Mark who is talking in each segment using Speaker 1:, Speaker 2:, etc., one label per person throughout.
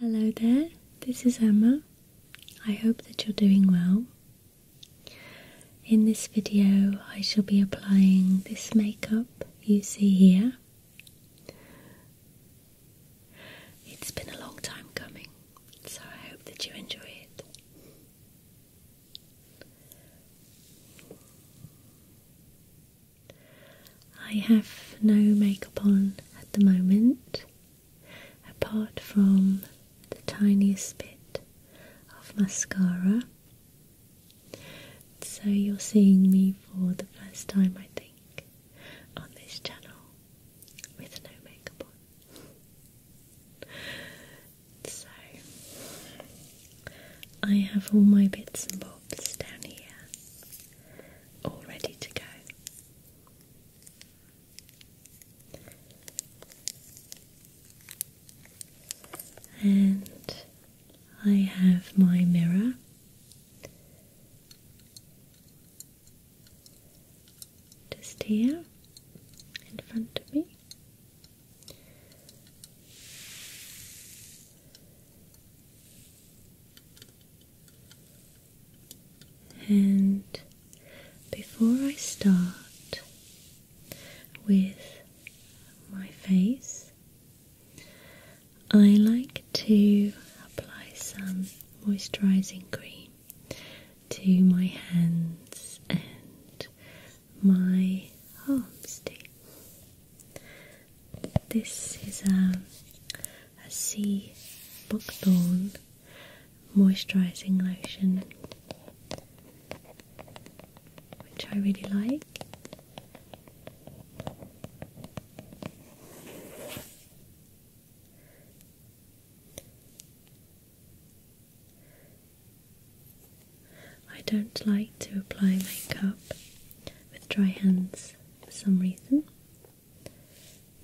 Speaker 1: Hello there, this is Emma. I hope that you're doing well. In this video, I shall be applying this makeup you see here. It's been a long time coming, so I hope that you enjoy it. I have no makeup on at the moment, apart from the tiniest bit of mascara. So you're seeing me for the first time, I think, on this channel with no makeup on. So I have all my bits and bobs down here all ready to go. And I have my mirror. Just here in front of me, and before I start with my face, I like to apply some moisturizing cream to my hands and my arms too. This is a a sea buckthorn moisturising lotion, which I really like. I don't like to apply makeup with dry hands for some reason,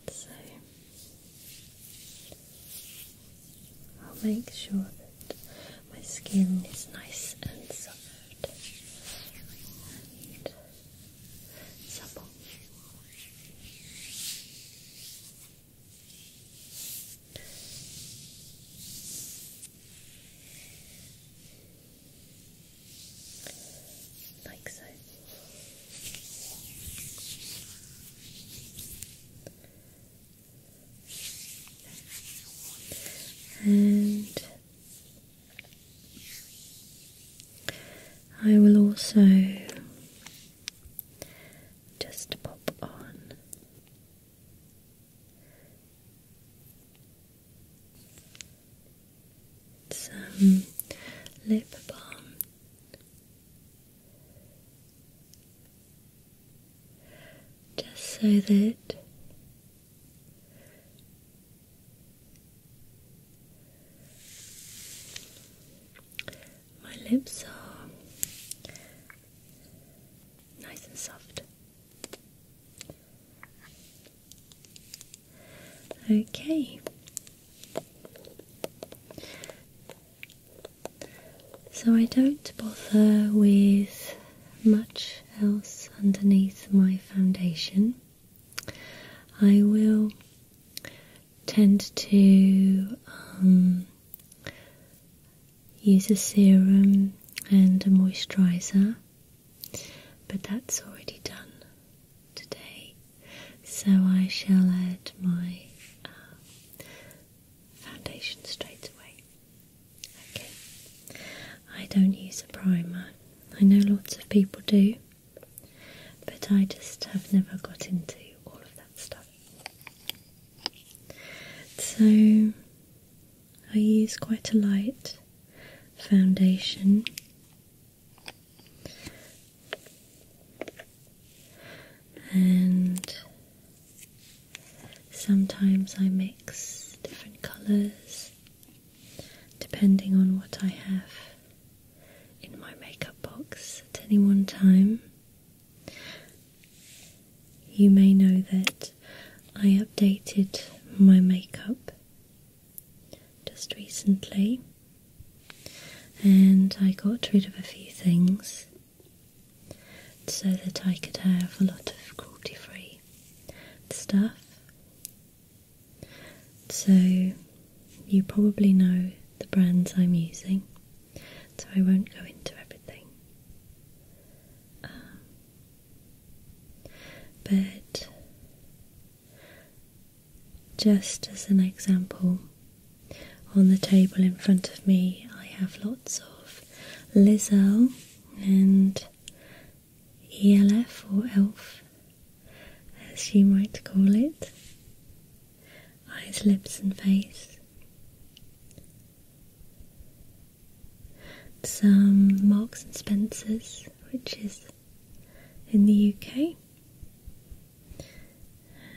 Speaker 1: so I'll make sure that my skin is nice and soft and supple like so. And I will also just pop on some lip balm. Just so that my lips are nice and soft. Okay. So I don't bother with much else underneath my foundation. I will tend to um, use a serum and a moisturiser, but that's already done today. So I shall add my um, foundation straight away. Okay. I don't use a primer. I know lots of people do, but I just have never got into all of that stuff. So I use quite a light foundation and sometimes I mix different colours depending on what I have in my makeup box at any one time. You may know that I updated my makeup just recently, and I got rid of a few things so that I could have a lot of cruelty free stuff. So, you probably know the brands I'm using, so I won't go into everything. Um, but just as an example, on the table in front of me, I have lots of Lizelle and ELF or ELF, as you might call it, eyes, lips, and face. Some Marks and Spencers, which is in the UK.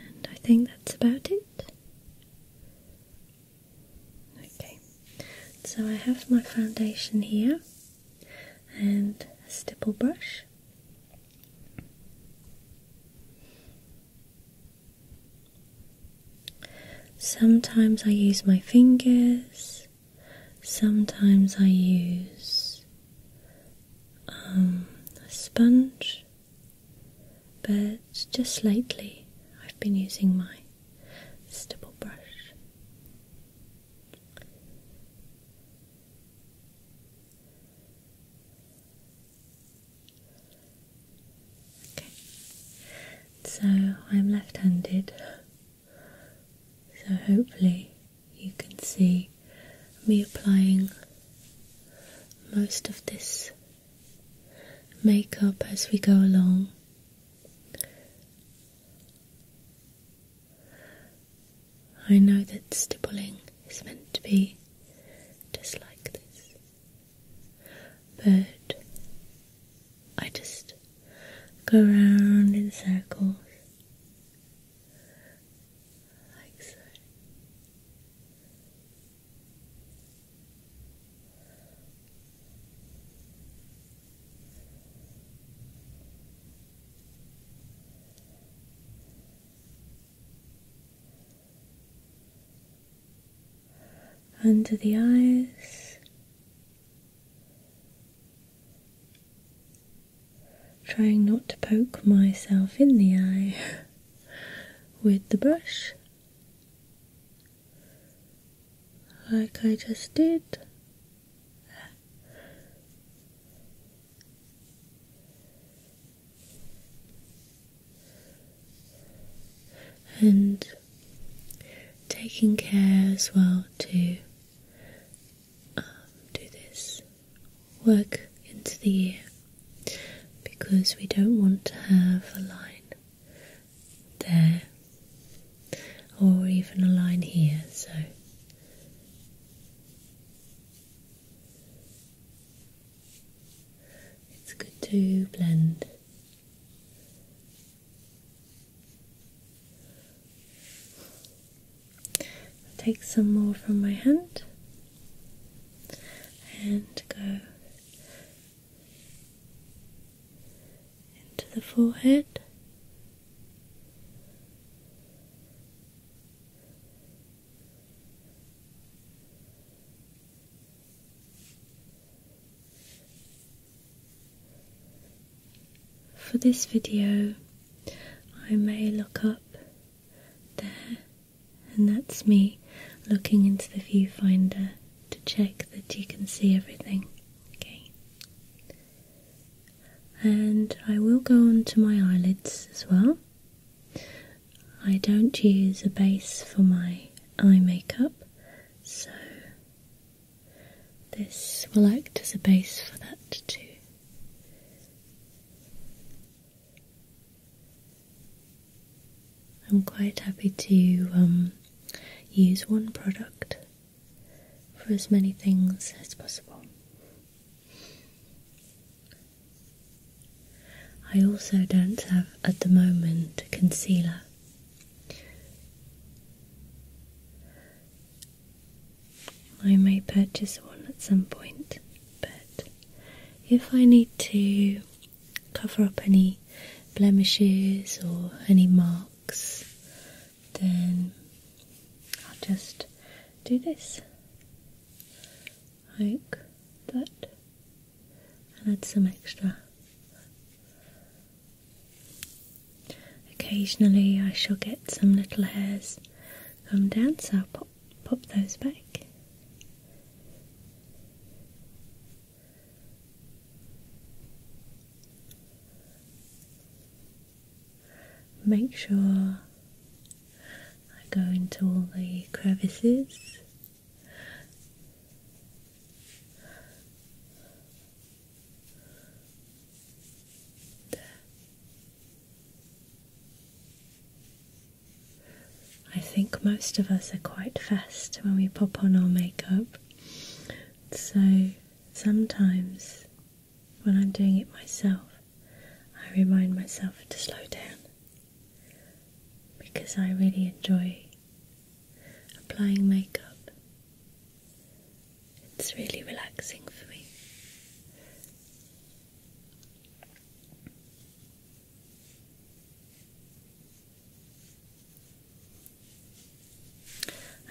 Speaker 1: And I think that's about it. Okay, so I have my foundation here and a stipple brush. Sometimes I use my fingers, sometimes I use um, a sponge, but just lately I've been using my stubble brush. Okay, so I'm left handed, so hopefully you can see me applying most of this makeup as we go along. I know that stippling is meant to be just like this, but I just go round in circles under the eyes, trying not to poke myself in the eye with the brush like I just did. And taking care as well to um, do this work into the ear because we don't want to have a line there or even a line here so it's good to blend Take some more from my hand and go into the forehead for this video, I may look up there, and that's me looking into the viewfinder to check that you can see everything. Okay. And I will go on to my eyelids as well. I don't use a base for my eye makeup, so this will act as a base for that too. I'm quite happy to um, use one product for as many things as possible. I also don't have at the moment a concealer. I may purchase one at some point, but if I need to cover up any blemishes or any marks, then I'll just do this like that and add some extra. Occasionally, I shall get some little hairs come down, so I'll pop, pop those back. Make sure I go into all the crevices. I think most of us are quite fast when we pop on our makeup, so sometimes when I'm doing it myself, I remind myself to slow down because I really enjoy applying makeup it's really relaxing for me.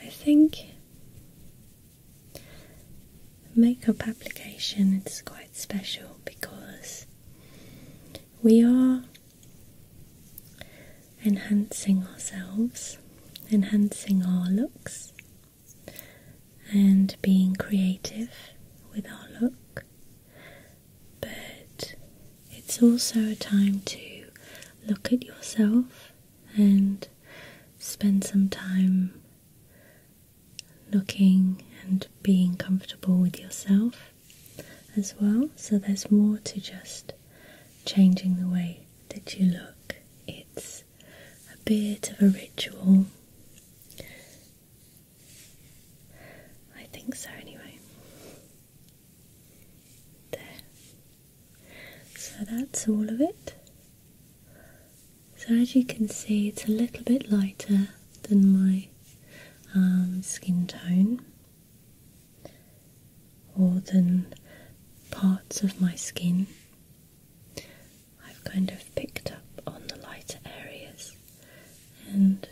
Speaker 1: I think makeup application is quite special because we are enhancing ourselves, enhancing our looks, and being creative with our look, but it's also a time to look at yourself and spend some time looking and being comfortable with yourself as well. So there's more to just changing the way that you look. It's a bit of a ritual. I think so, anyway. There. So that's all of it. So, as you can see, it's a little bit lighter than my um, skin tone or than parts of my skin. I've kind of picked up on the lighter areas and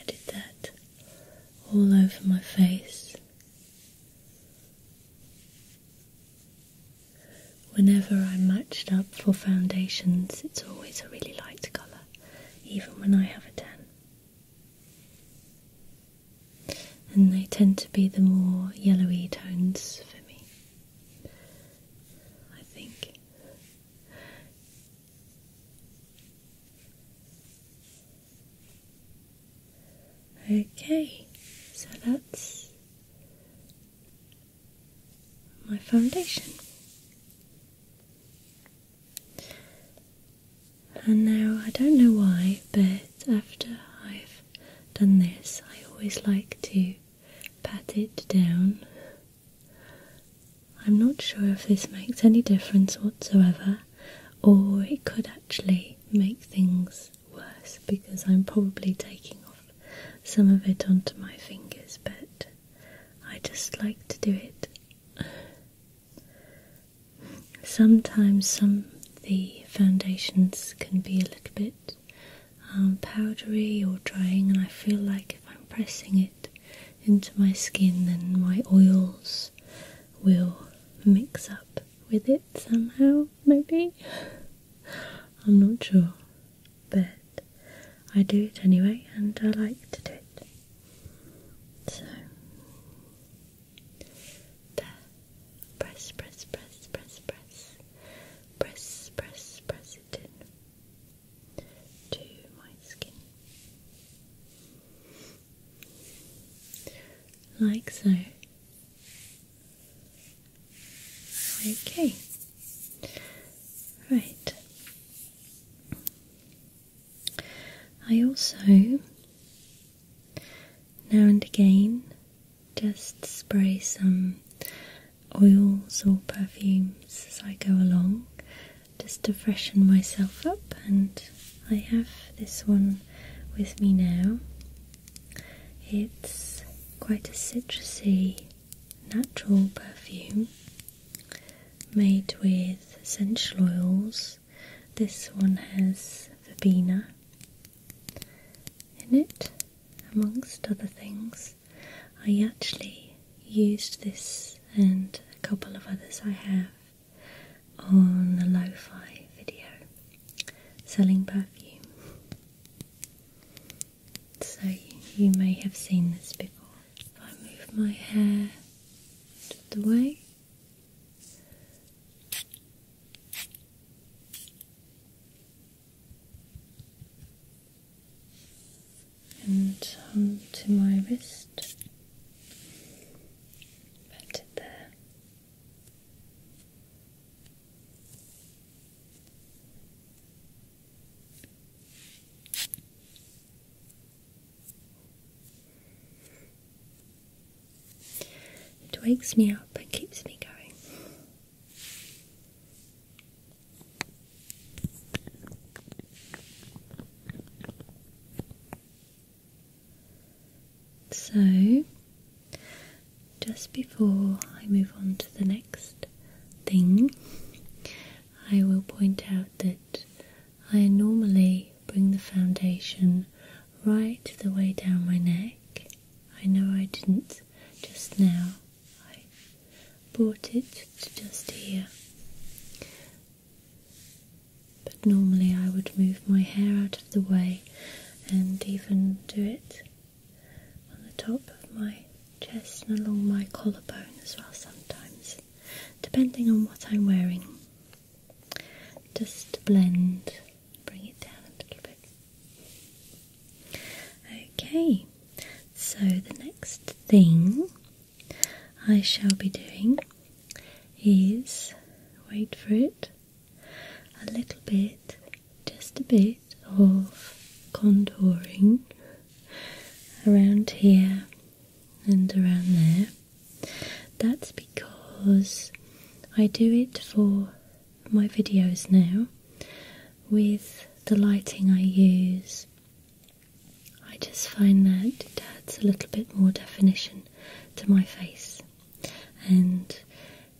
Speaker 1: added that all over my face. Whenever I matched up for foundations, it's always a really light colour, even when I have a tan. And they tend to be the more yellowy tones for me. I think. Okay, so that's my foundation. And now I don't know why, but after I've done this, I always like to pat it down. I'm not sure if this makes any difference whatsoever, or it could actually make things worse because I'm probably taking off some of it onto my fingers, but I just like to do it. Sometimes some the foundations can be a little bit um, powdery or drying, and I feel like if I'm pressing it into my skin, then my oils will mix up with it somehow, maybe. I'm not sure, but I do it anyway, and I like to do it. So, there Press, press, press, press, press. Press, press, press it in to my skin. Like so. Okay. Right. I also now and again just spray some oils or perfumes as I go along just to freshen myself up and I have this one with me now. It's quite a citrusy natural perfume made with essential oils. This one has verbena in it amongst other things. I actually used this and a couple of others I have on a lo fi video selling perfume. So you may have seen this before. If I move my hair out of the way and onto my wrist. Put it there. It wakes me up but keeps me going. So, just before I move on to the next thing, I will point out that I normally bring the foundation right the way down my neck. I know I didn't just now. I brought it to just here. But normally I would move my hair out of the way and even do it on the top of my chest and along my collarbone as well sometimes, depending on what I'm wearing. Just to blend, bring it down a little bit. Okay, so the next thing I shall be doing is wait for it a little bit, just a bit of contouring around here and around there. That's because I do it for my videos now with the lighting I use. I just find that it adds a little bit more definition to my face, and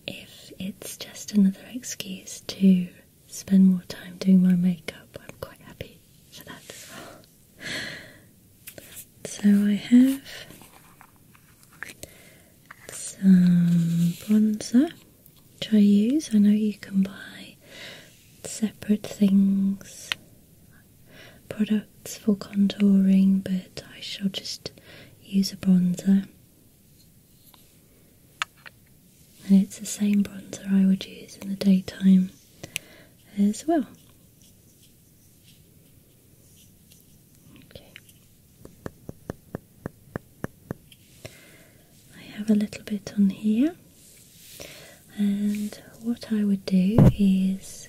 Speaker 1: if it's just another excuse to spend more time doing my makeup, I'm quite happy for that as well. So I have some bronzer which I use. I know you can buy separate things, products for contouring, but I shall just use a bronzer. And it's the same bronzer I would use in the daytime as well. Okay. I have a little bit on here, and what I would do is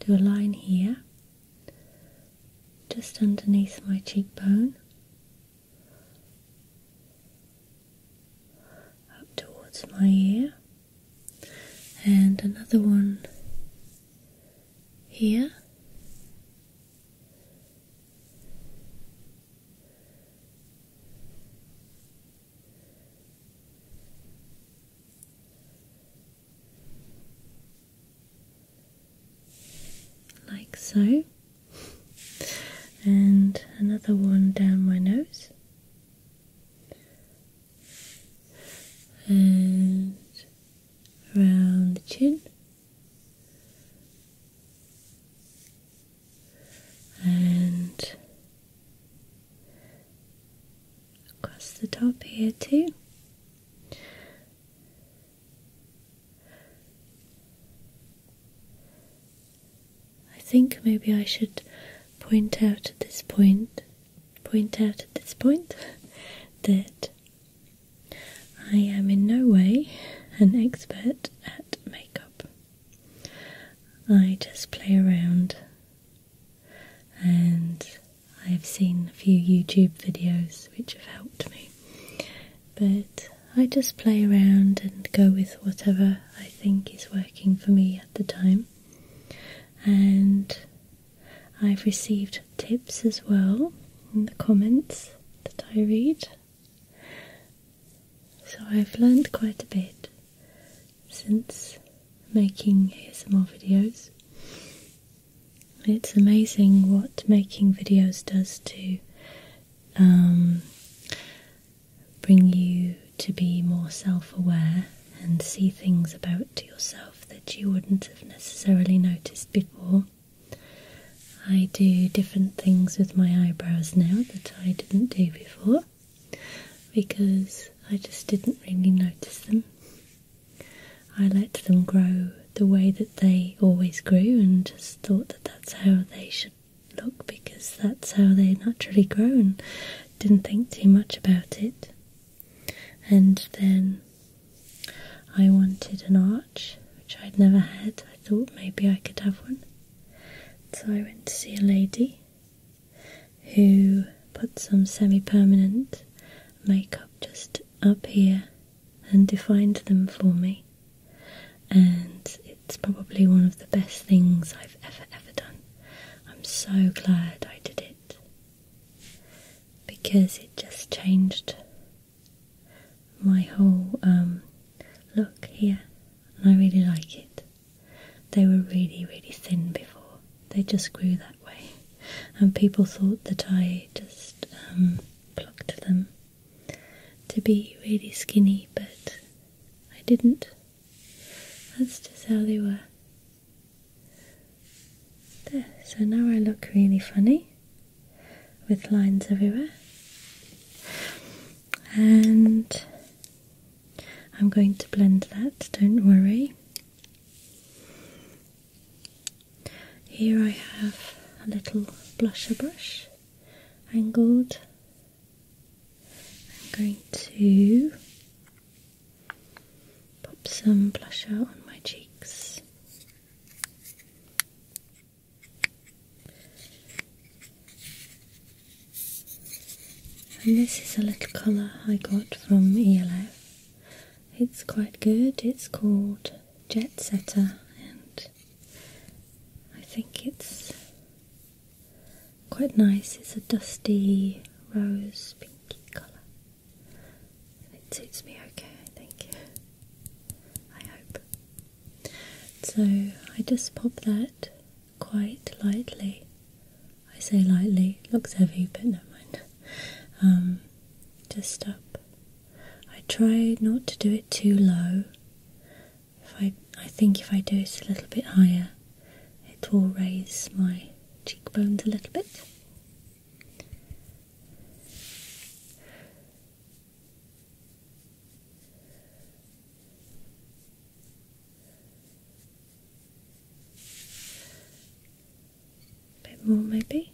Speaker 1: do a line here just underneath my cheekbone up towards my ear and another one here. Like so, and another one down my nose, and around the chin and across the top here too. I think maybe I should point out at this point, point out at this point that I am in no way an expert at makeup. I just play around and I've seen a few YouTube videos which have helped me. But I just play around and go with whatever I think is working for me at the time. And I've received tips as well in the comments that I read. So I've learned quite a bit since making ASMR videos. It's amazing what making videos does to um, bring you to be more self aware and see things about yourself that you wouldn't have necessarily noticed before. I do different things with my eyebrows now that I didn't do before because I just didn't really notice them. I let them grow the way that they always grew and just thought that that's how they should look because that's how they naturally grow and didn't think too much about it. And then I wanted an arch, which I'd never had. I thought maybe I could have one. So I went to see a lady who put some semi permanent makeup just up here and defined them for me. And it's probably one of the best things I've ever, ever done. I'm so glad I did it because it just changed my whole um, look here, and I really like it. They were really, really thin before, they just grew that way, and people thought that I just um, plucked them to be really skinny, but I didn't. That's just how they were. There, so now I look really funny with lines everywhere. And I'm going to blend that, don't worry. Here I have a little blusher brush angled. I'm going to pop some blusher on my cheeks. And this is a little colour I got from ELF. It's quite good. It's called Jet Setter, and I think it's quite nice. It's a dusty rose pinky colour. It suits me okay, I think. I hope. So I just pop that quite lightly. I say lightly, looks heavy, but never mind. Um, just up. I try not to do it too low. If I, I think if I do it a little bit higher, it will raise my cheekbones a little bit. A bit more, maybe.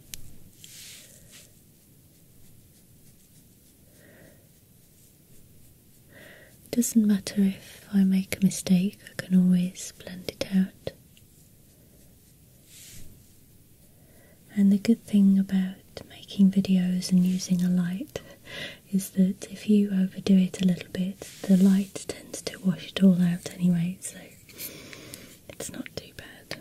Speaker 1: Doesn't matter if I make a mistake, I can always blend it out. And the good thing about making videos and using a light is that if you overdo it a little bit, the light tends to wash it all out anyway, so it's not too bad.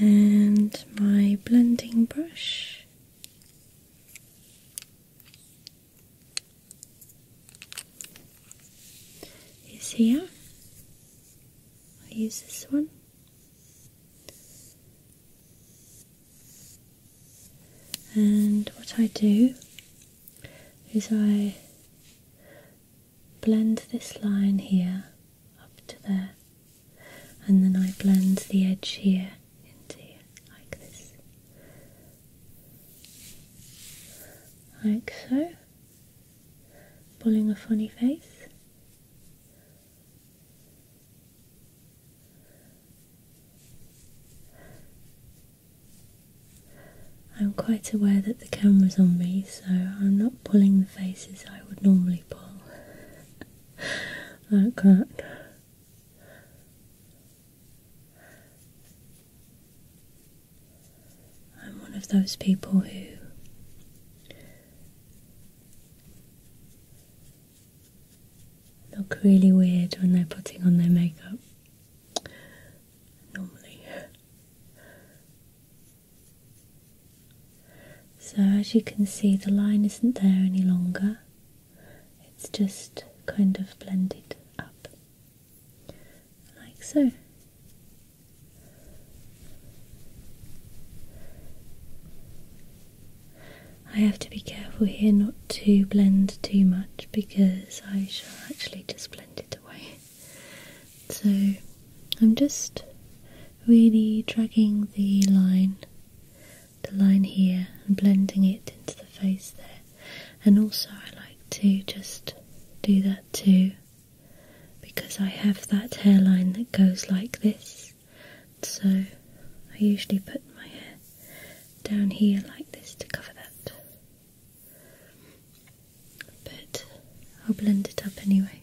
Speaker 1: And my blending brush is here. I use this one. And what I do is I blend this line here up to there and then I blend the edge here into like this, like so, pulling a funny face. I'm quite aware that the camera's on me, so I'm not pulling the faces I would normally pull. I can't. I'm one of those people who look really weird when they're putting on their makeup. Normally. So, as you can see, the line isn't there any longer it's just kind of blended up like so. I have to be careful here not to blend too much because I shall actually just blend it away. So I'm just really dragging the line the line here and blending it into the face there. And also I like to just do that too because I have that hairline that goes like this. So I usually put my hair down here like this to cover that. But I'll blend it up anyway.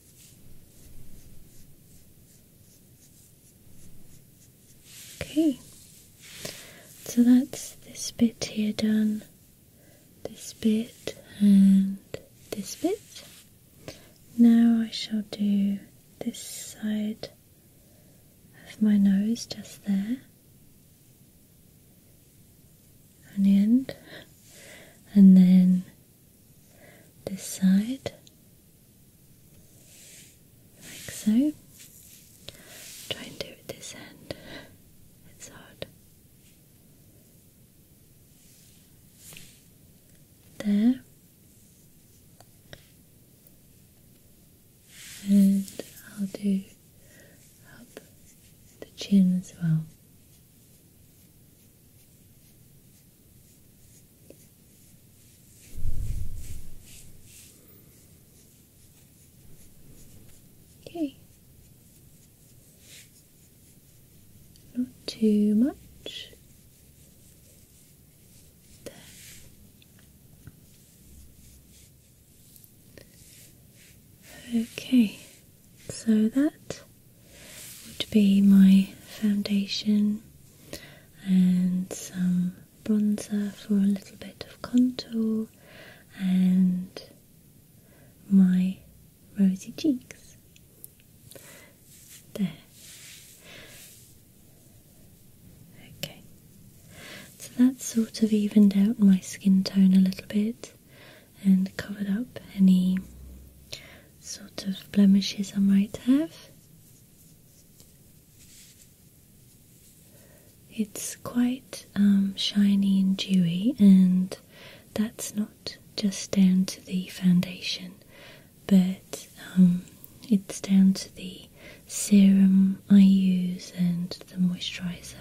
Speaker 1: Okay, so that's this bit here done, this bit and this bit. Now I shall do this side of my nose just there on the end and then this side, like so. Try and do it this end, it's hard. There. And I'll do up the chin as well. Okay. Not too much. There. Okay, so that would be my foundation and some bronzer for a little bit of contour and my rosy cheeks. There. Okay. So that's sort of evened out my skin tone a little bit and covered up any sort of blemishes I might have. It's quite um, shiny and dewy, and that's not just down to the foundation, but um, it's down to the serum I use and the moisturizer.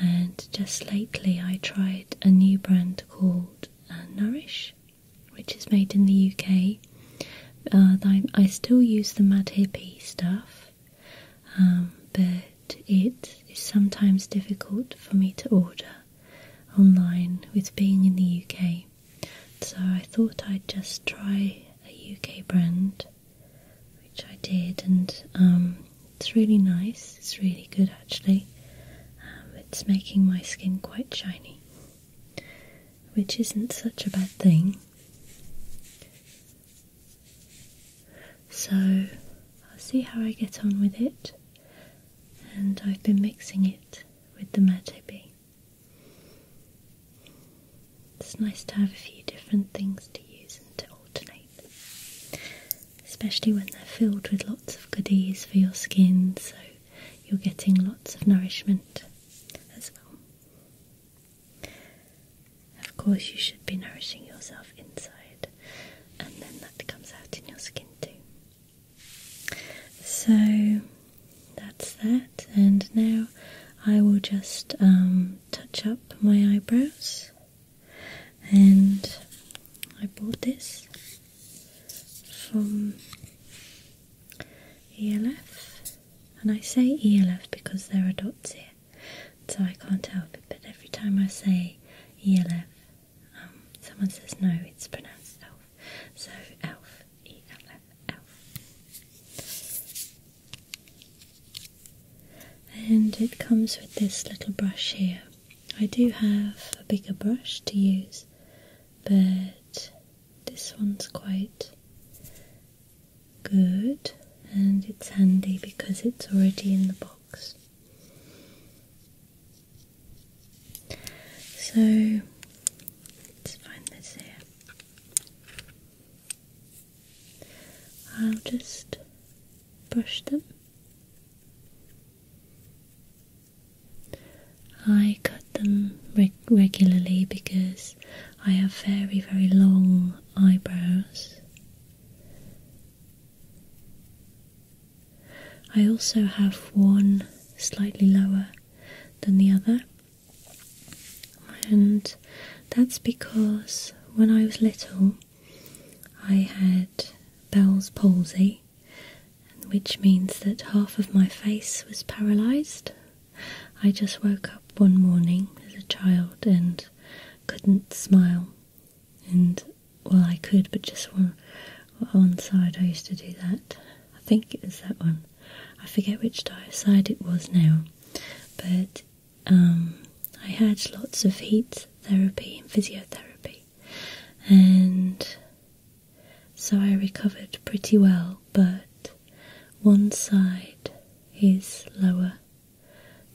Speaker 1: And just lately, I tried a new brand called uh, Nourish, which is made in the UK. Uh, I, still use the Mad Hippie stuff, um, but it is sometimes difficult for me to order online with being in the UK. So I thought I'd just try a UK brand, which I did, and um, it's really nice. It's really good actually. Um, it's making my skin quite shiny which isn't such a bad thing. So I'll see how I get on with it, and I've been mixing it with the Mate Bee. It's nice to have a few different things to use and to alternate, especially when they're filled with lots of goodies for your skin. So you're getting lots of nourishment as well. Of course, you should be nourishing yourself inside, and then that comes out in your skin too. So that's that, and now I will just um, touch up my eyebrows. And I bought this from ELF, and I say ELF because there are dots here, so I can't help it. But every time I say ELF, um, someone says no, it's pronounced elf, so ELF, elf. And it comes with this little brush here. I do have a bigger brush to use but this one's quite good and it's handy because it's already in the box. So let's find this here. I'll just brush them I cut them regularly because I have very, very long eyebrows. I also have one slightly lower than the other, and that's because when I was little I had Bell's palsy which means that half of my face was paralysed. I just woke up one morning as a child and couldn't smile, and well, I could, but just one, one side. I used to do that. I think it was that one. I forget which side it was now, but um, I had lots of heat therapy and physiotherapy, and so I recovered pretty well, but one side is lower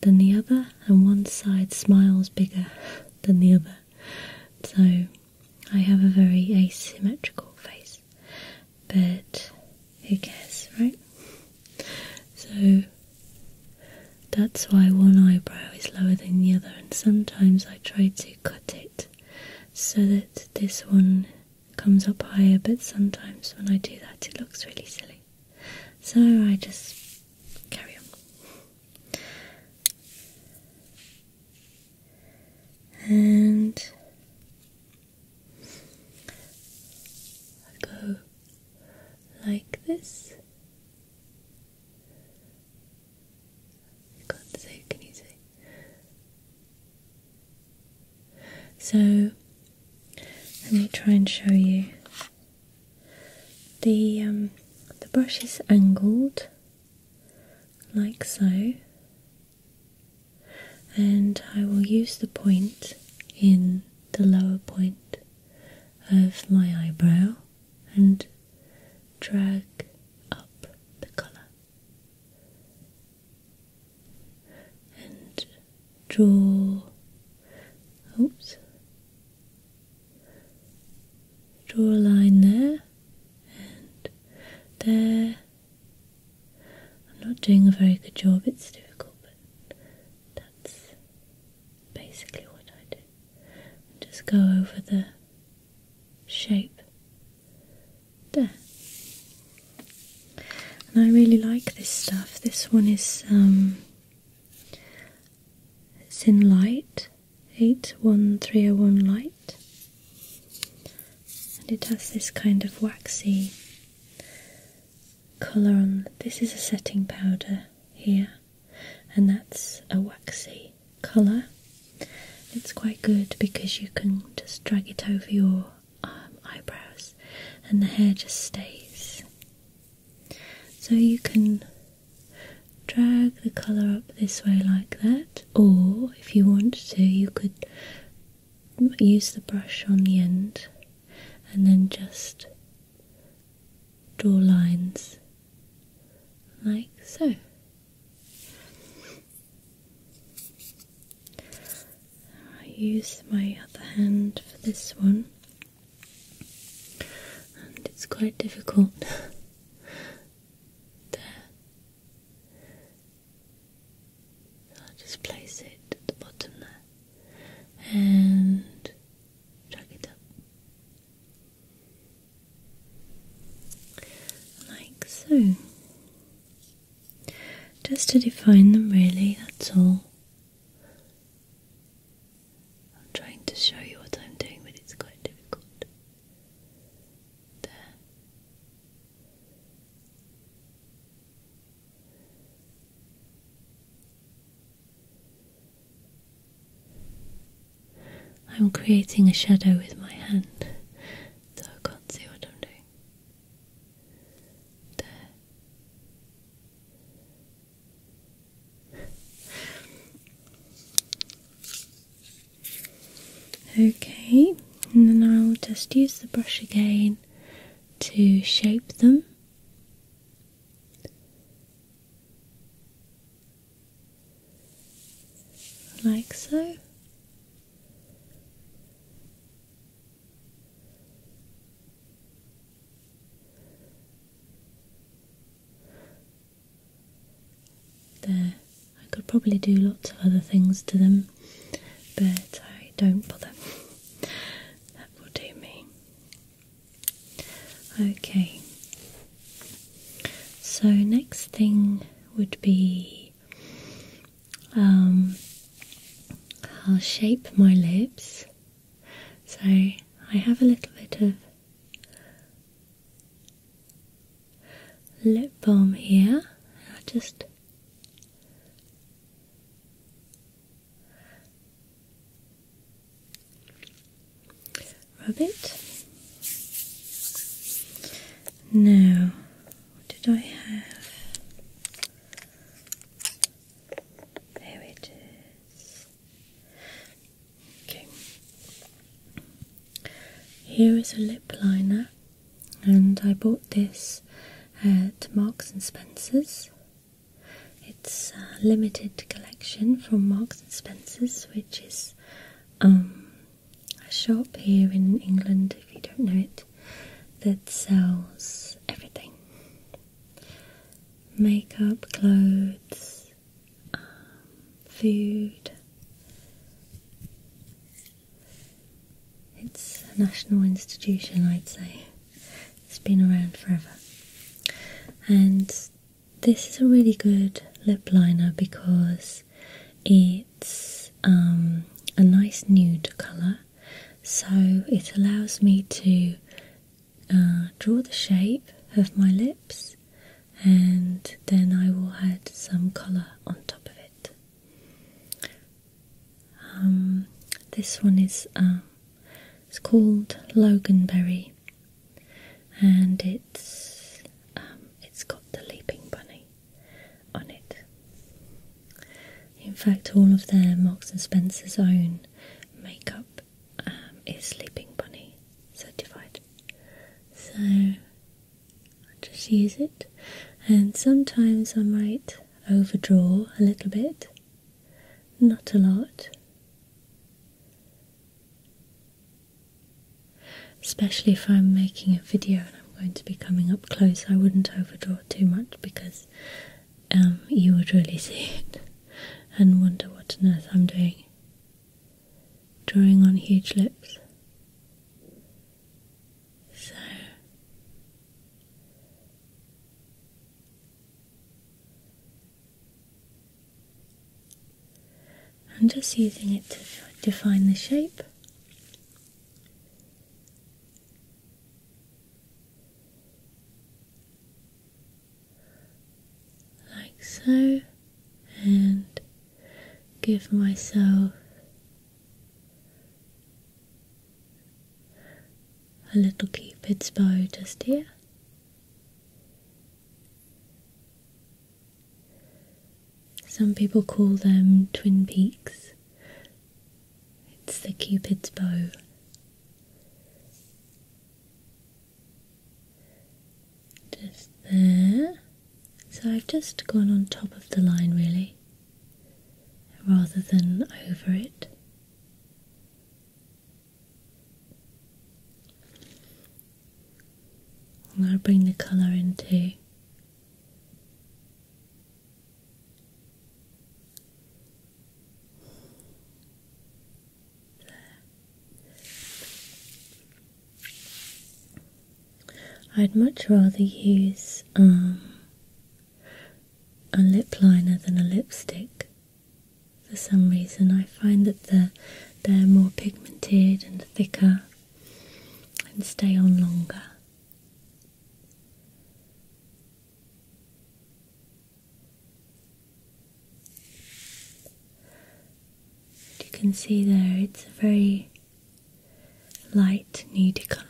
Speaker 1: than the other, and one side smiles bigger than the other. So I have a very asymmetrical face, but who cares, right? So that's why one eyebrow is lower than the other, and sometimes I try to cut it so that this one comes up higher but sometimes when I do that it looks really silly so I just carry on and I go like this can't say, can you say? So let me try and show you. The um, the brush is angled like so, and I will use the point in the lower point of my eyebrow and drag up the colour and draw oops draw a line there and there I'm not doing a very good job it's difficult but that's basically what I do just go over the shape. There. And I really like this stuff. This one is um it's in light, 81301 light. And it has this kind of waxy colour on. This is a setting powder here, and that's a waxy colour. It's quite good because you can just drag it over your um, eyebrows and the hair just stays. So you can drag the colour up this way like that, or if you want to, you could use the brush on the end and then just draw lines like so. I use my other hand for this one, and it's quite difficult. there. So i just place it at the bottom there and drag it up like so. Just to define them, really, that's all. I'm trying to show you what I'm doing, but it's quite difficult. There. I'm creating a shadow with my hand, so I can't see what I'm doing. There. Okay, and then I'll just use the brush again to shape them like so. There, I could probably do lots of other things to them, but I don't bother. that will do me. Okay, so, next thing would be um, I'll shape my lips. So, I have a little bit of lip balm here. I will just rub it. Now, what did I have? There it is. Okay. Here is a lip liner, and I bought this at Marks and Spencer's. It's a limited collection from Marks and Spencer's, which is um, a shop here in England, if you don't know it, that sells everything makeup, clothes, um, food. It's a national institution, I'd say. It's been around forever. And this is a really good lip liner because it it's um, a nice nude colour, so it allows me to uh, draw the shape of my lips and then I will add some colour on top of it. Um, this one is um, it's called Loganberry and it's it's got the leaping bunny on it. In fact, all of their Mox and Spencer's own makeup um, is Sleeping Bunny certified. So I just use it, and sometimes I might overdraw a little bit, not a lot. Especially if I'm making a video and I'm going to be coming up close, I wouldn't overdraw too much because um, you would really see it and wonder what on earth I'm doing. Drawing on huge lips. So. I'm just using it to define the shape. Like so, and give myself a little cupid's bow just here. Some people call them Twin Peaks. It's the Cupid's bow. Just there. So I've just gone on top of the line really, rather than over it. I'm going to bring the colour in too. I'd much rather use um, a lip liner than a lipstick. For some reason, I find that the they're more pigmented and thicker and stay on longer. You can see there it's a very light nudie colour,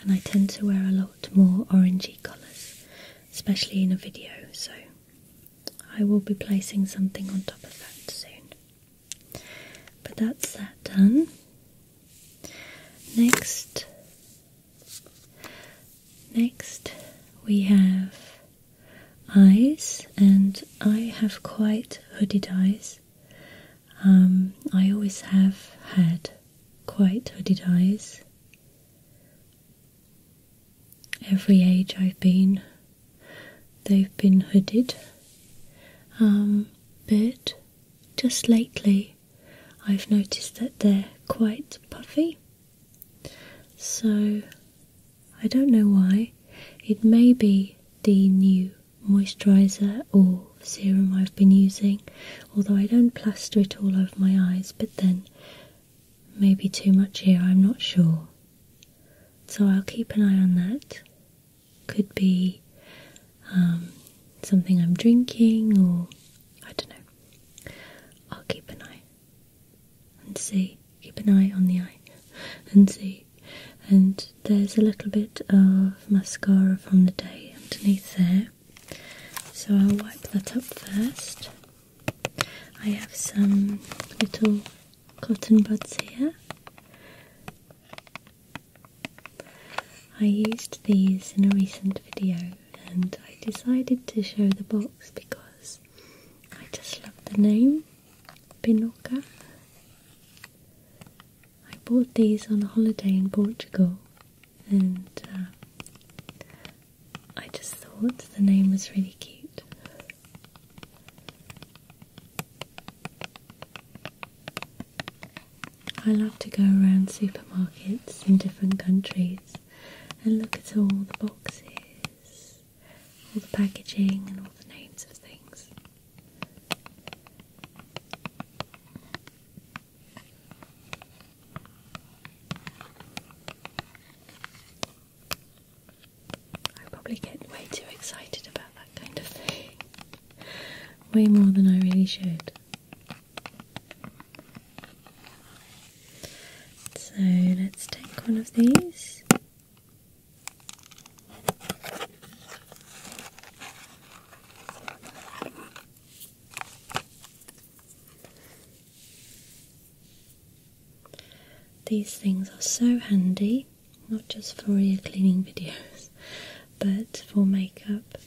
Speaker 1: and I tend to wear a lot more orangey colours, especially in a video, so I will be placing something on top of that soon. But that's that done. Next, next we have eyes, and I have quite hooded eyes. Um, I always have had quite hooded eyes. Every age I've been, They've been hooded, um, but just lately I've noticed that they're quite puffy. So I don't know why. It may be the new moisturizer or serum I've been using, although I don't plaster it all over my eyes, but then maybe too much here, I'm not sure. So I'll keep an eye on that. Could be um, something I'm drinking or I don't know. I'll keep an eye and see. Keep an eye on the eye and see. And there's a little bit of mascara from the day underneath there. So I'll wipe that up first. I have some little cotton buds here. I used these in a recent video and I decided to show the box because I just love the name Binoca. I bought these on a holiday in Portugal and uh, I just thought the name was really cute. I love to go around supermarkets in different countries and look at all the boxes, all the packaging, and all the names of things. I probably get way too excited about that kind of thing. Way more than I really should. So let's take one of these. These things are so handy, not just for ear cleaning videos, but for makeup.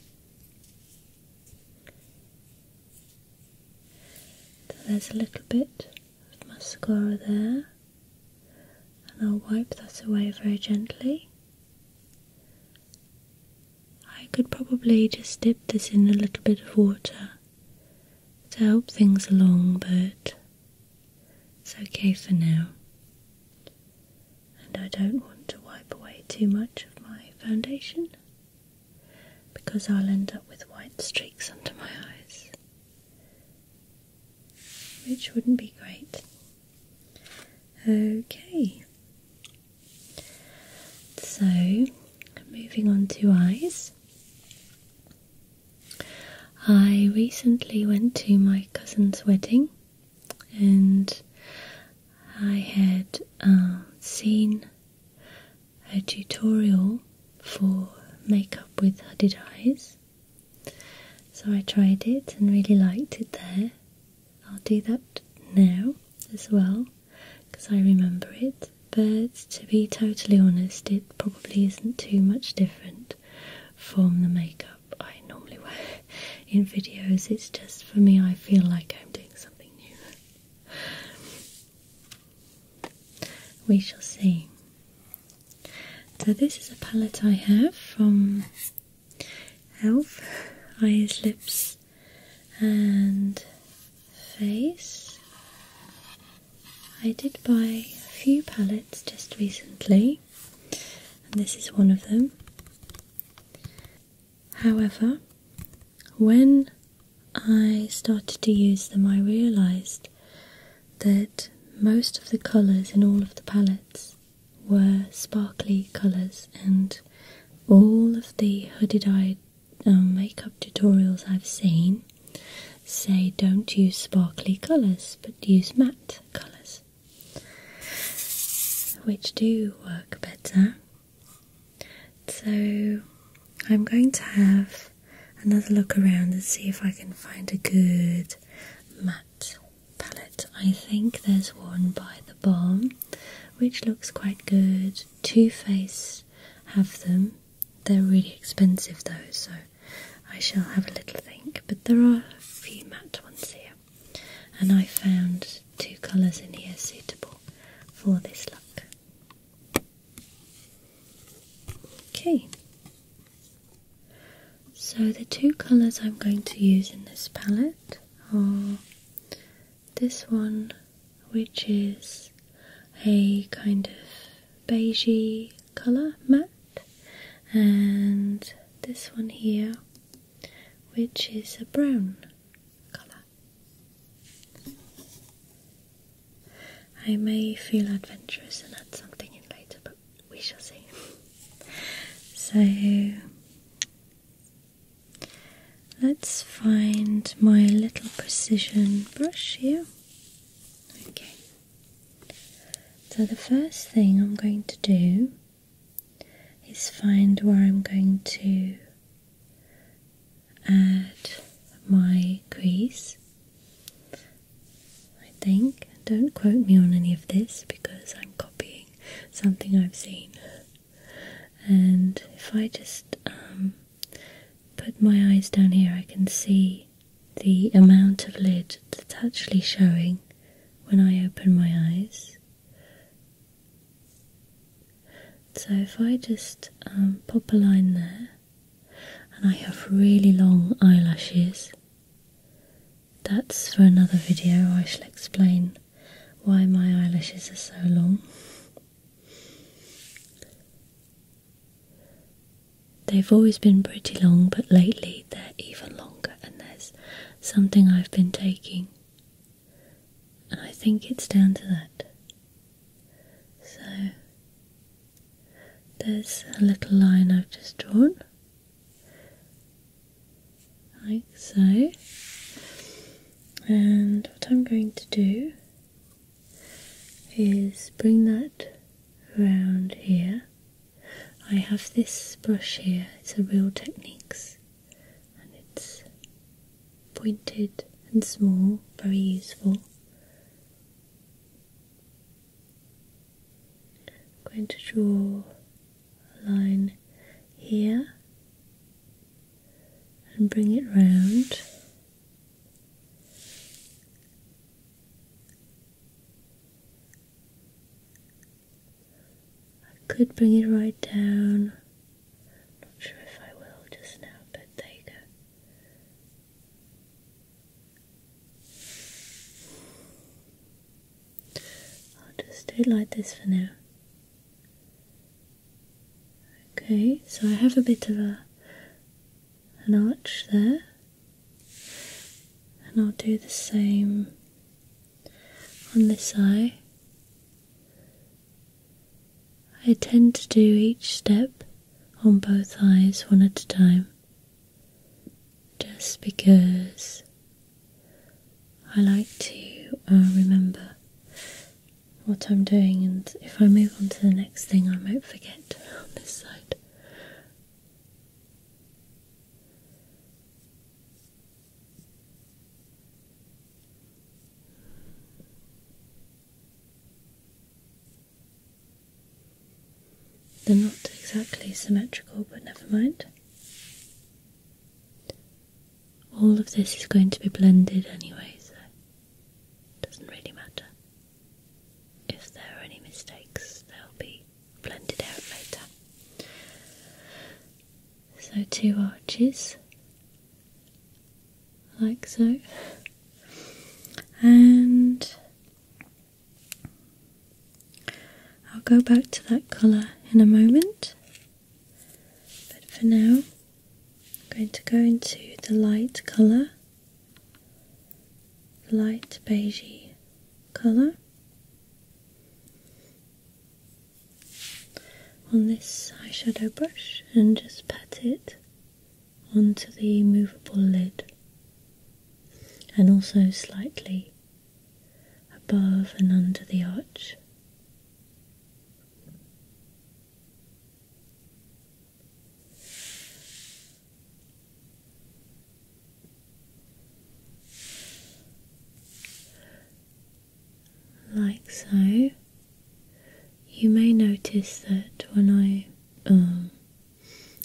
Speaker 1: there's a little bit of mascara there, and I'll wipe that away very gently. I could probably just dip this in a little bit of water to help things along, but it's okay for now. And I don't want to wipe away too much of my foundation because I'll end up with white streaks under my eyes, which wouldn't be great. Okay, so moving on to eyes. I recently went to my cousin's wedding and I had um, seen a tutorial for makeup with hooded eyes. So I tried it and really liked it there. I'll do that now as well because I remember it. But to be totally honest, it probably isn't too much different from the makeup I normally wear in videos. It's just for me, I feel like I'm doing something new. we shall see. So, this is a palette I have from ELF Eyes, Lips, and Face. I did buy a few palettes just recently, and this is one of them. However, when I started to use them, I realised that most of the colours in all of the palettes were sparkly colours, and all of the hooded eye um, makeup tutorials I've seen Say don't use sparkly colours but use matte colours, which do work better. So I'm going to have another look around and see if I can find a good matte palette. I think there's one by the Balm which looks quite good. Too Faced have them they're really expensive though, so I shall have a little think. But there are a few matte ones here, and I found two colours in here suitable for this look. Okay, so the two colours I'm going to use in this palette are this one, which is a kind of beigey color matte and this one here which is a brown color. I may feel adventurous and add something in later but we shall see. so let's find my little precision brush here. Okay. So, the first thing I'm going to do is find where I'm going to add my crease. I think, don't quote me on any of this because I'm copying something I've seen. And if I just um, put my eyes down here, I can see the amount of lid that's actually showing when I open my eyes. So if I just um, pop a line there, and I have really long eyelashes. That's for another video, I shall explain why my eyelashes are so long. They've always been pretty long, but lately they're even longer, and there's something I've been taking. And I think it's down to that. So, there's a little line I've just drawn, like so. And what I'm going to do is bring that around here I have this brush here, it's a Real Techniques and it's pointed and small, very useful. I'm going to draw a line here and bring it round I could bring it right down. Not sure if I will just now, but there you go. I'll just do it like this for now. Okay, so I have a bit of a an arch there and I'll do the same on this eye. I tend to do each step on both eyes one at a time just because I like to uh, remember what I'm doing and if I move on to the next thing I might forget on this side they're not exactly symmetrical, but never mind. All of this is going to be blended anyway, so it doesn't really matter. If there are any mistakes, they'll be blended out later. So, two arches, like so, and I'll go back to that colour in a moment, but for now, I'm going to go into the light colour light beigey colour. On this eyeshadow brush, and just pat it onto the movable lid, and also slightly above and under the arch. Like so. You may notice that when I um,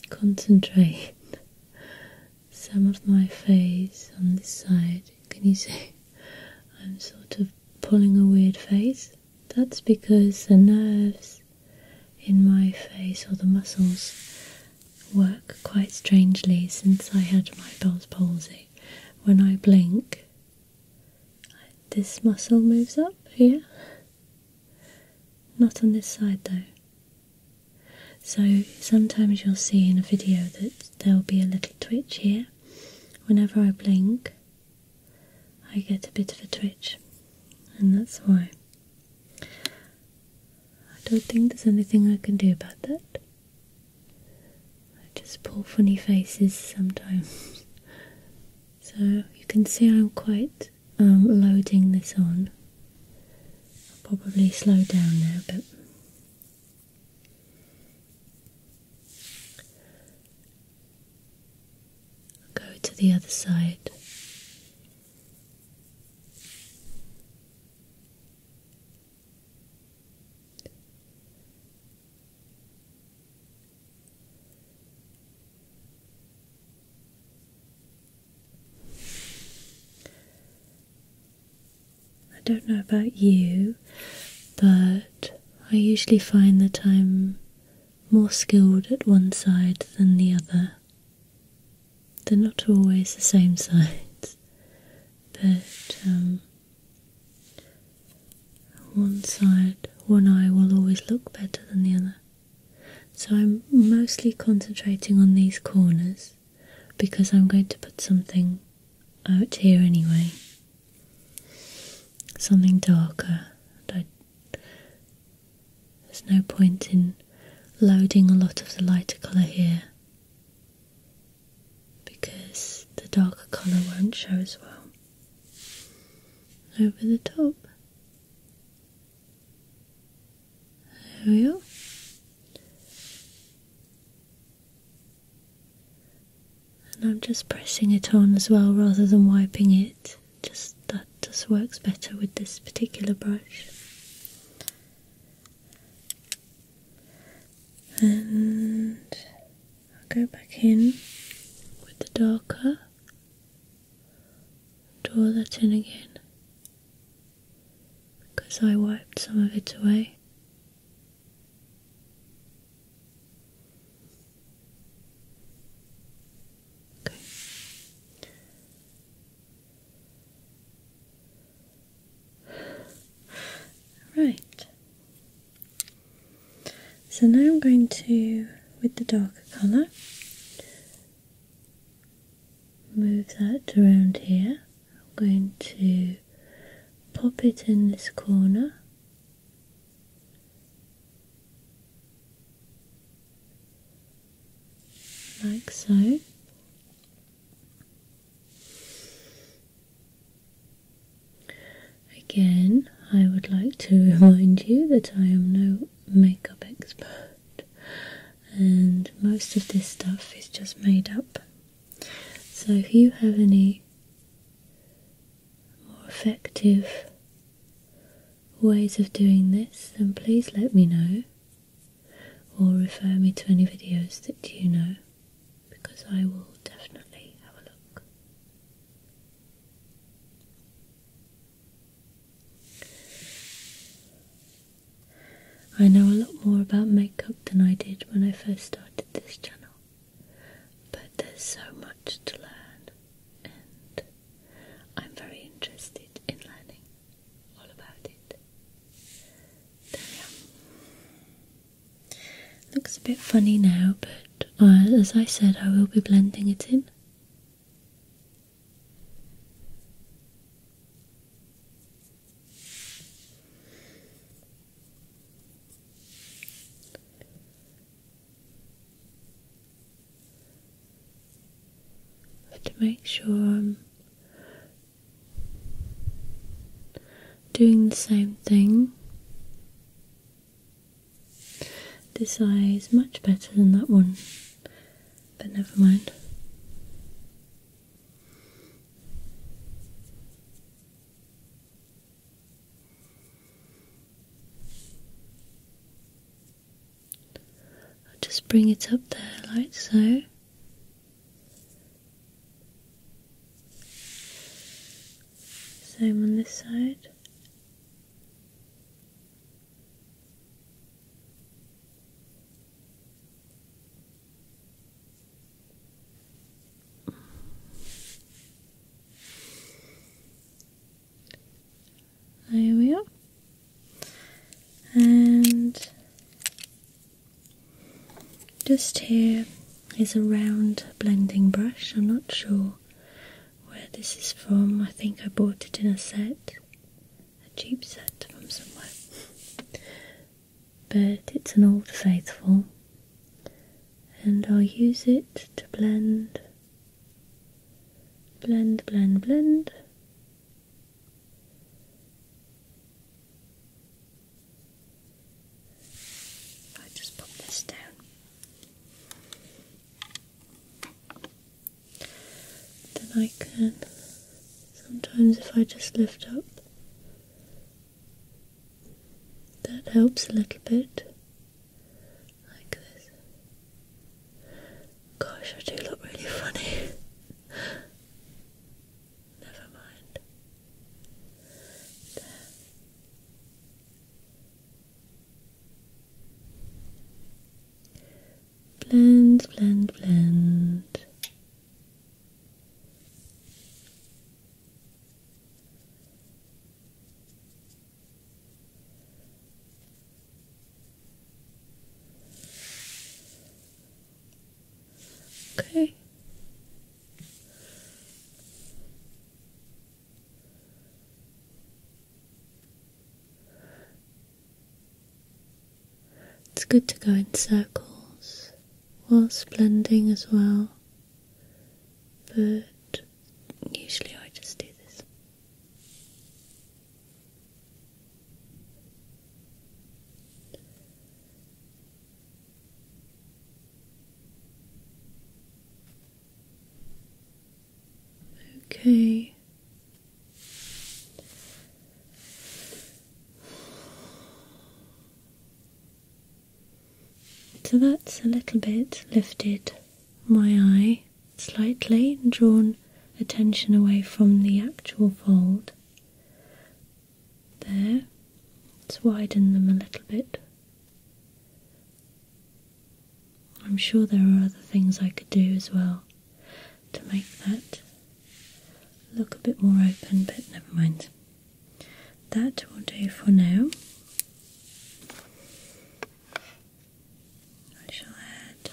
Speaker 1: concentrate some of my face on this side, can you see? I'm sort of pulling a weird face. That's because the nerves in my face or the muscles work quite strangely since I had my Bell's palsy. When I blink, this muscle moves up here. Not on this side though. So sometimes you'll see in a video that there'll be a little twitch here. Whenever I blink, I get a bit of a twitch, and that's why. I don't think there's anything I can do about that. I just pull funny faces sometimes. so you can see I'm quite um, loading this on. I'll probably slow down now but I'll go to the other side I don't know about you, but I usually find that I'm more skilled at one side than the other. They're not always the same size, but um, one side, one eye will always look better than the other. So I'm mostly concentrating on these corners because I'm going to put something out here anyway. Something darker. There's no point in loading a lot of the lighter colour here because the darker colour won't show as well. Over the top. There we are. And I'm just pressing it on as well rather than wiping it just that just works better with this particular brush. And I'll go back in with the darker, draw that in again because I wiped some of it away. Right. So now I'm going to, with the darker colour, move that around here. I'm going to pop it in this corner like so. Again, I would like to remind you that I am no makeup expert, and most of this stuff is just made up. So, if you have any more effective ways of doing this, then please let me know or refer me to any videos that you know because I will definitely have a look. I know a lot more about makeup than I did when I first started this channel, but there's so much to learn and I'm very interested in learning all about it. There we are. Looks a bit funny now, but uh, as I said, I will be blending it in. But to make sure I'm doing the same thing, this eye is much better than that one, but never mind. I'll just bring it up there like so. Same on this side. There we are. And just here is a round blending brush. I'm not sure where this is from. I think I bought it in a set, a cheap set from somewhere. But it's an old faithful, and I'll use it to blend, blend, blend, blend I just pop this down. Then I can sometimes, if I just lift up, that helps a little bit, like this. Gosh, I do look really funny. Never mind. Blend, blend, blend. Okay. It's good to go in circles whilst blending as well, but usually I just do this. Okay. So that's a little bit lifted my eye slightly drawn attention away from the actual fold. There, let's widen them a little bit. I'm sure there are other things I could do as well to make that look a bit more open, but never mind. That will do for now. I shall add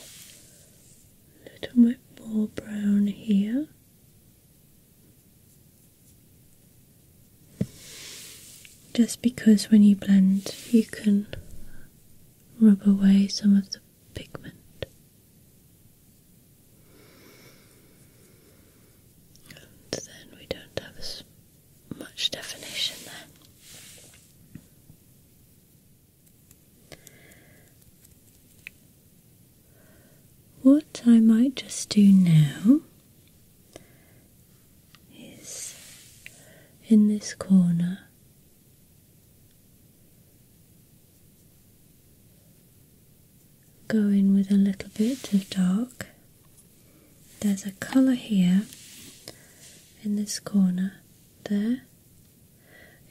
Speaker 1: a little bit more brown here. Just because when you blend, you can rub away some of the pigment. And then we don't have as much definition there. What I might just do now is in this corner. Go in with a little bit of dark. There's a colour here in this corner, there,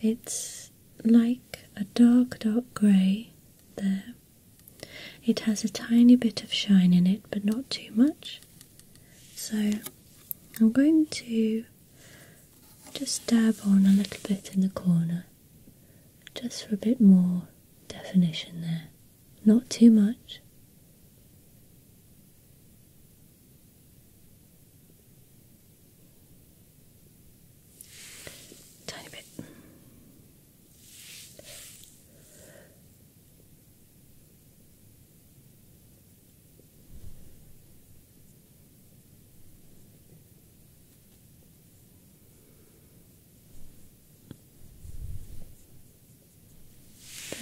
Speaker 1: it's like a dark, dark grey there. It has a tiny bit of shine in it, but not too much. So I'm going to just dab on a little bit in the corner, just for a bit more definition there. Not too much. Tiny bit.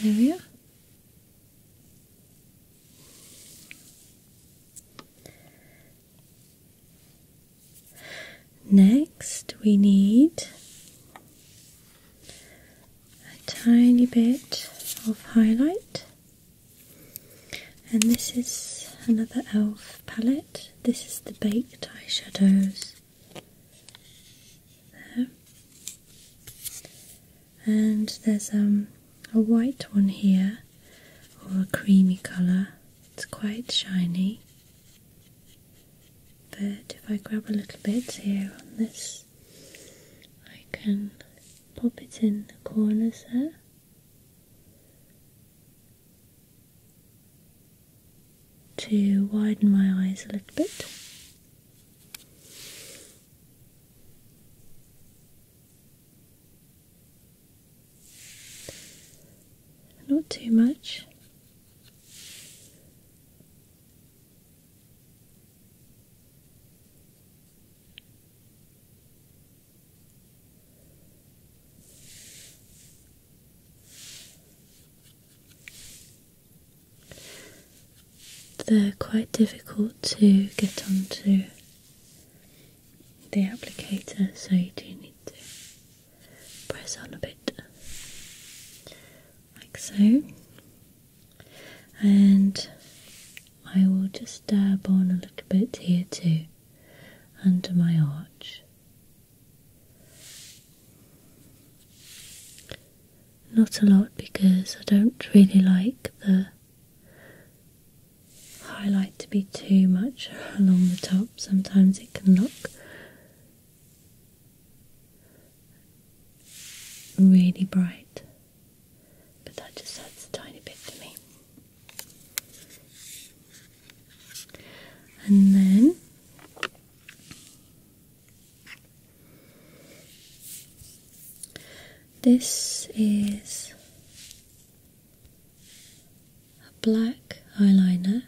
Speaker 1: There we are. Next, we need a tiny bit of highlight, and this is another e.l.f. palette. This is the baked eyeshadows. There and there's um, a white one here or a creamy colour. It's quite shiny. But if I grab a little bit here on this, I can pop it in the corners there. To widen my eyes a little bit. Not too much. They're quite difficult to get onto the applicator, so you do need to press on a bit, like so. And I will just dab on a little bit here too, under my arch. Not a lot because I don't really like the highlight to be too much along the top. Sometimes it can look really bright, but that just adds a tiny bit to me. And then this is a black eyeliner.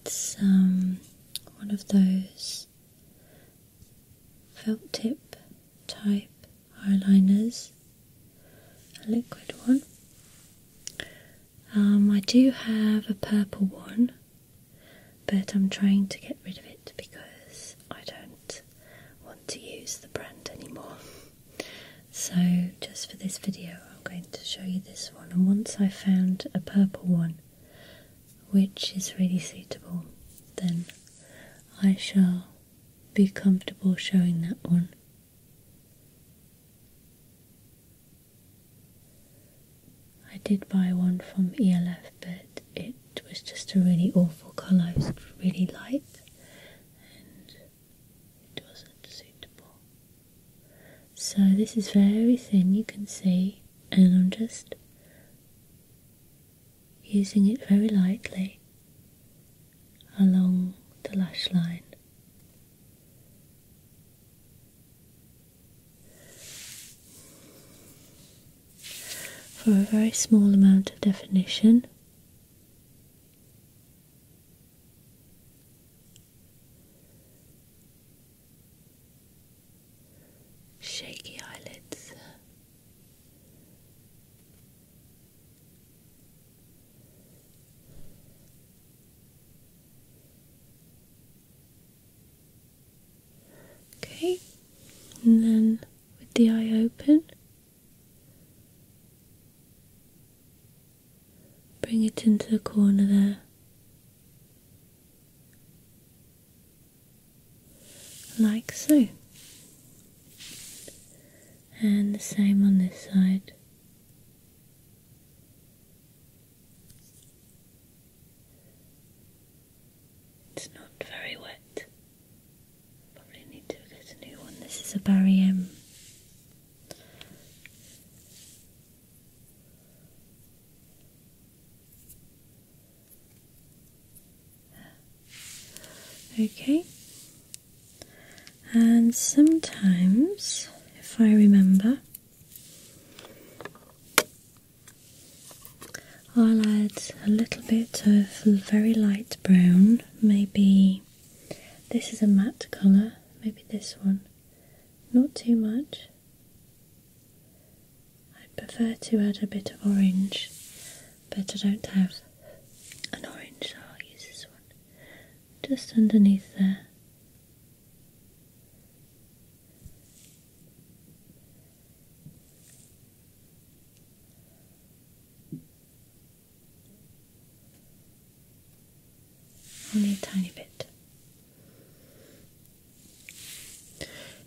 Speaker 1: It's um, one of those felt tip type eyeliners, a liquid one. Um, I do have a purple one, but I'm trying to get rid of it because I don't want to use the brand anymore. So, just for this video, I'm going to show you this one. And once I found a purple one which is really suitable, then I shall be comfortable showing that one. I did buy one from ELF, but it it was just a really awful colour. It really light and it wasn't suitable. So this is very thin, you can see, and I'm just using it very lightly along the lash line for a very small amount of definition. Shaky eyelids. Okay, and then with the eye open, Bring it into the corner there. Like so. And the same on this side. It's not very wet. Probably need to get a new one. This is a Barry Okay. And sometimes, if I remember, I'll add a little bit of very light brown, maybe this is a matte colour, maybe this one, not too much. I'd prefer to add a bit of orange, but I don't have an orange, so I'll use this one just underneath there. Only a tiny bit.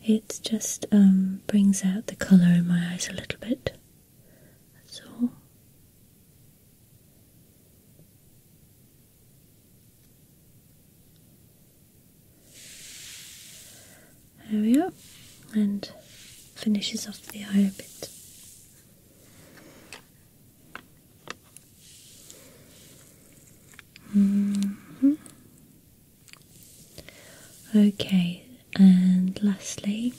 Speaker 1: It just um, brings out the colour in my eyes a little bit. That's all. There we are, and finishes off the eye a bit. Mm-hmm. Okay, and lastly,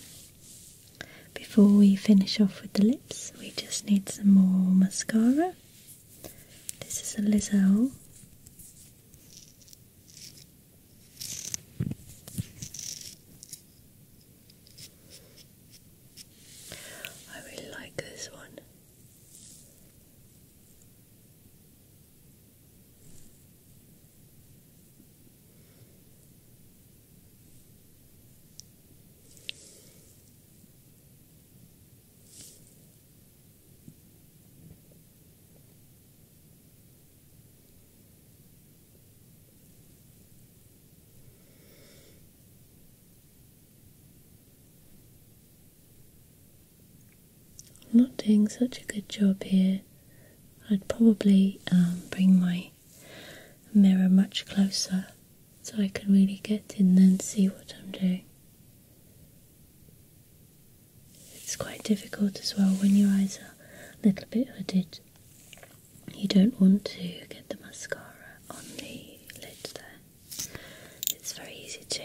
Speaker 1: before we finish off with the lips, we just need some more mascara. This is a Lizzo I really like this one. I'm not doing such a good job here. I'd probably um, bring my mirror much closer so I can really get in and see what I'm doing. It's quite difficult as well when your eyes are a little bit hooded. You don't want to get the mascara on the lid there. It's very easy to.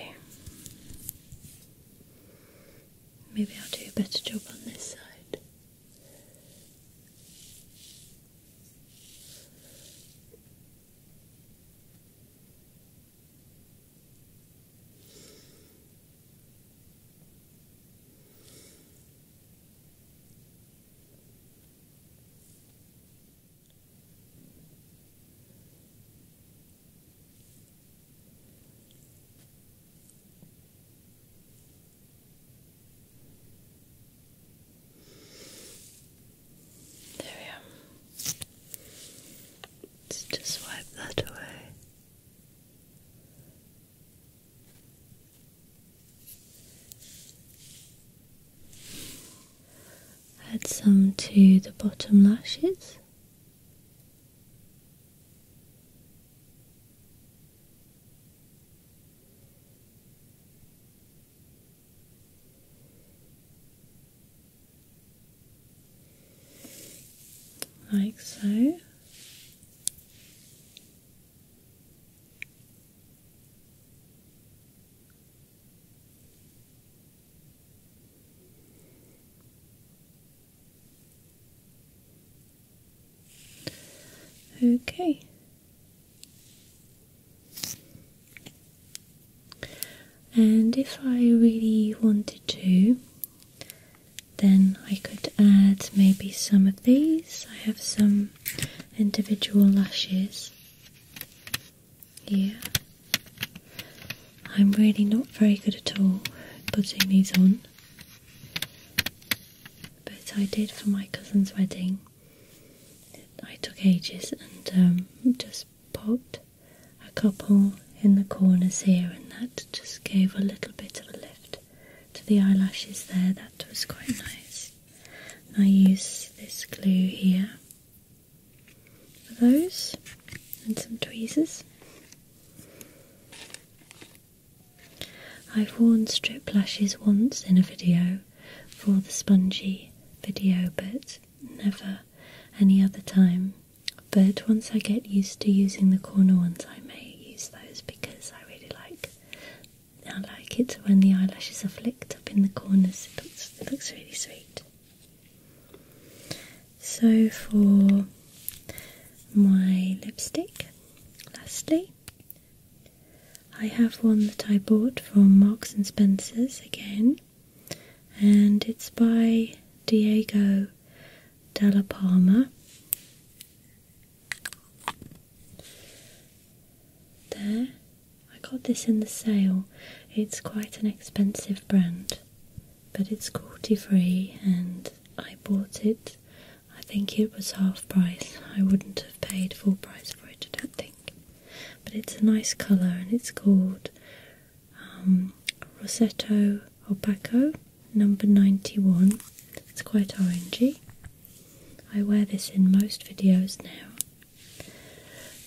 Speaker 1: Maybe I'll do a better job on this side. There we go. Let's just wipe that away. Add some to the bottom lashes. Like so, Okay. And if I really wanted to, then I could add maybe some of these. I have some individual lashes Yeah, I'm really not very good at all putting these on, but I did for my cousin's wedding. I took ages and um, just popped a couple in the corners here, and that just gave a little bit of a lift to the eyelashes there, that was quite nice. I use this glue here for those and some tweezers. I've worn strip lashes once in a video for the spongy video, but never any other time but once I get used to using the corner ones, I may use those because I really like. I like it when the eyelashes are flicked up in the corners. It looks really sweet. So for my lipstick, lastly, I have one that I bought from Marks and Spencers again, and it's by Diego Della Palma. There, I got this in the sale. It's quite an expensive brand, but it's cruelty free, and I bought it. I think it was half price. I wouldn't have paid full price for it, I don't think. But it's a nice colour, and it's called um, Rosetto Opaco number 91. It's quite orangey. I wear this in most videos now.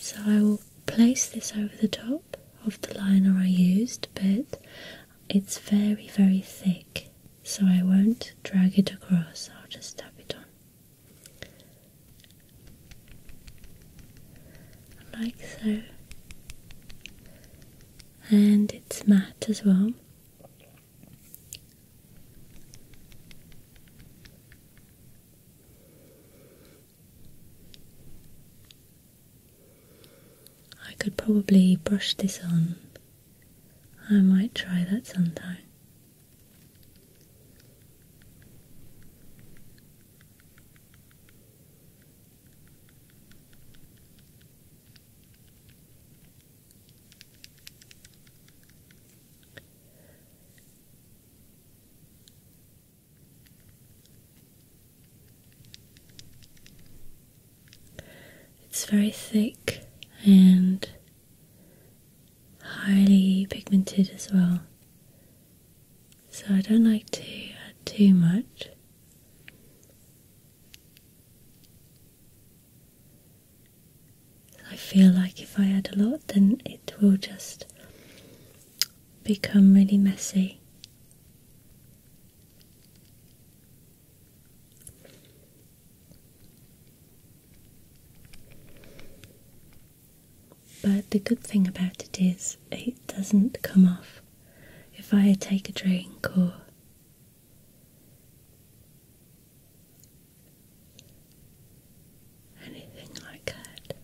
Speaker 1: So I will place this over the top of the liner I used, but it's very, very thick, so I won't drag it across. I'll just dab it on. Like so. And it's matte as well. I could probably brush this on. I might try that sometime. It's very thick and highly pigmented as well, so I don't like to add too much. I feel like if I add a lot, then it will just become really messy. But the good thing about it is it doesn't come off. If I take a drink or Anything like that.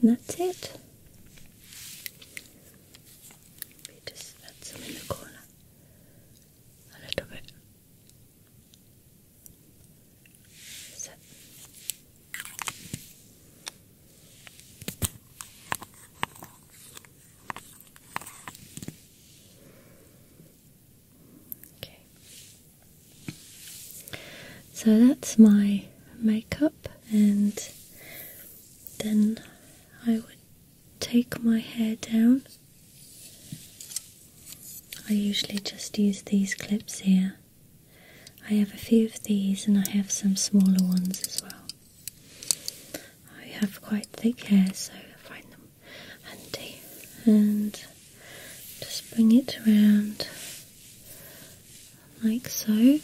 Speaker 1: And that's it. Maybe just add some in the corner. A little bit. Set so that's my makeup, and then I would take my hair down. I usually just use these clips here I have a few of these and I have some smaller ones as well. I have quite thick hair, so I find them handy. And just bring it around like so.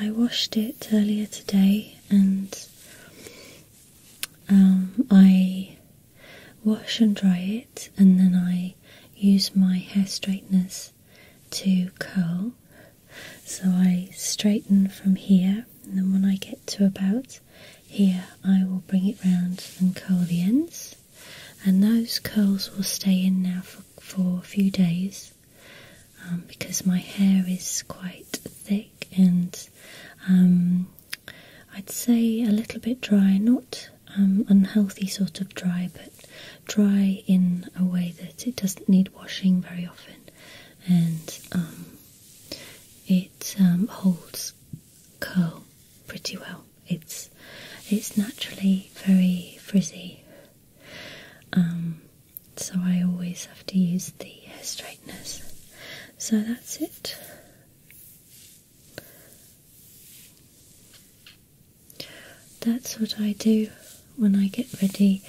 Speaker 1: I washed it earlier today and um, I wash and dry it and then I use my hair straighteners to curl. So I straighten from here, and then when I get to about here, I will bring it round and curl the ends. And those curls will stay in now for, for a few days um, because my hair is quite thick and um, I'd say a little bit dry, not um, unhealthy sort of dry, but dry in a way that it doesn't need washing very often and um, it um, holds curl pretty well. It's it's naturally very frizzy, um, so I always have to use the hair straighteners. So that's it. That's what I do when I get ready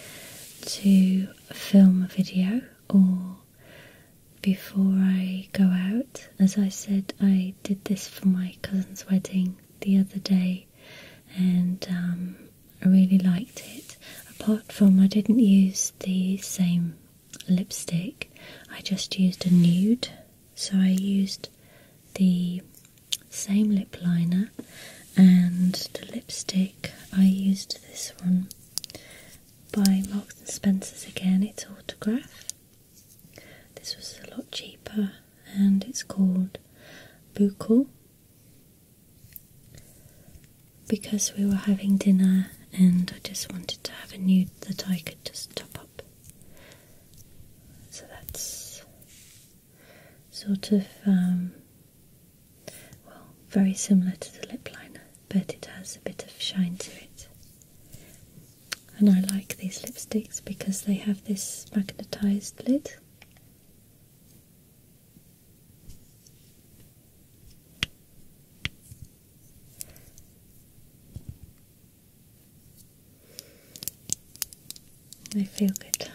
Speaker 1: to film a video or before I go out. As I said, I did this for my cousin's wedding the other day and um, I really liked it. Apart from, I didn't use the same lipstick, I just used a nude. So I used the same lip liner and the lipstick. I used this one by Marks and Spencer's again. It's autograph. This was a lot cheaper, and it's called Buckle because we were having dinner and I just wanted to have a nude that I could just top up. So that's sort of, um, well, very similar to the lip liner, but it has a bit of shine to it. And I like these lipsticks because they have this magnetized lid. I feel good.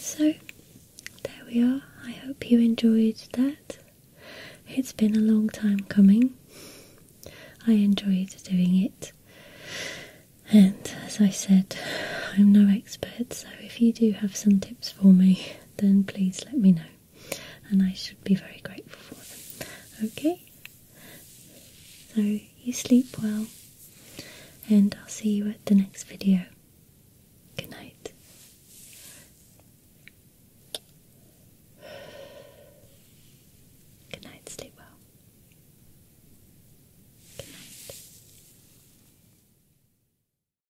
Speaker 1: So, there we are. I hope you enjoyed that. It's been a long time coming. I enjoyed doing it. And as I said, I'm no expert, so if you do have some tips for me, then please let me know, and I should be very grateful for them. Okay? So, you sleep well, and I'll see you at the next video. Good night. Good night, sleep well. Good night.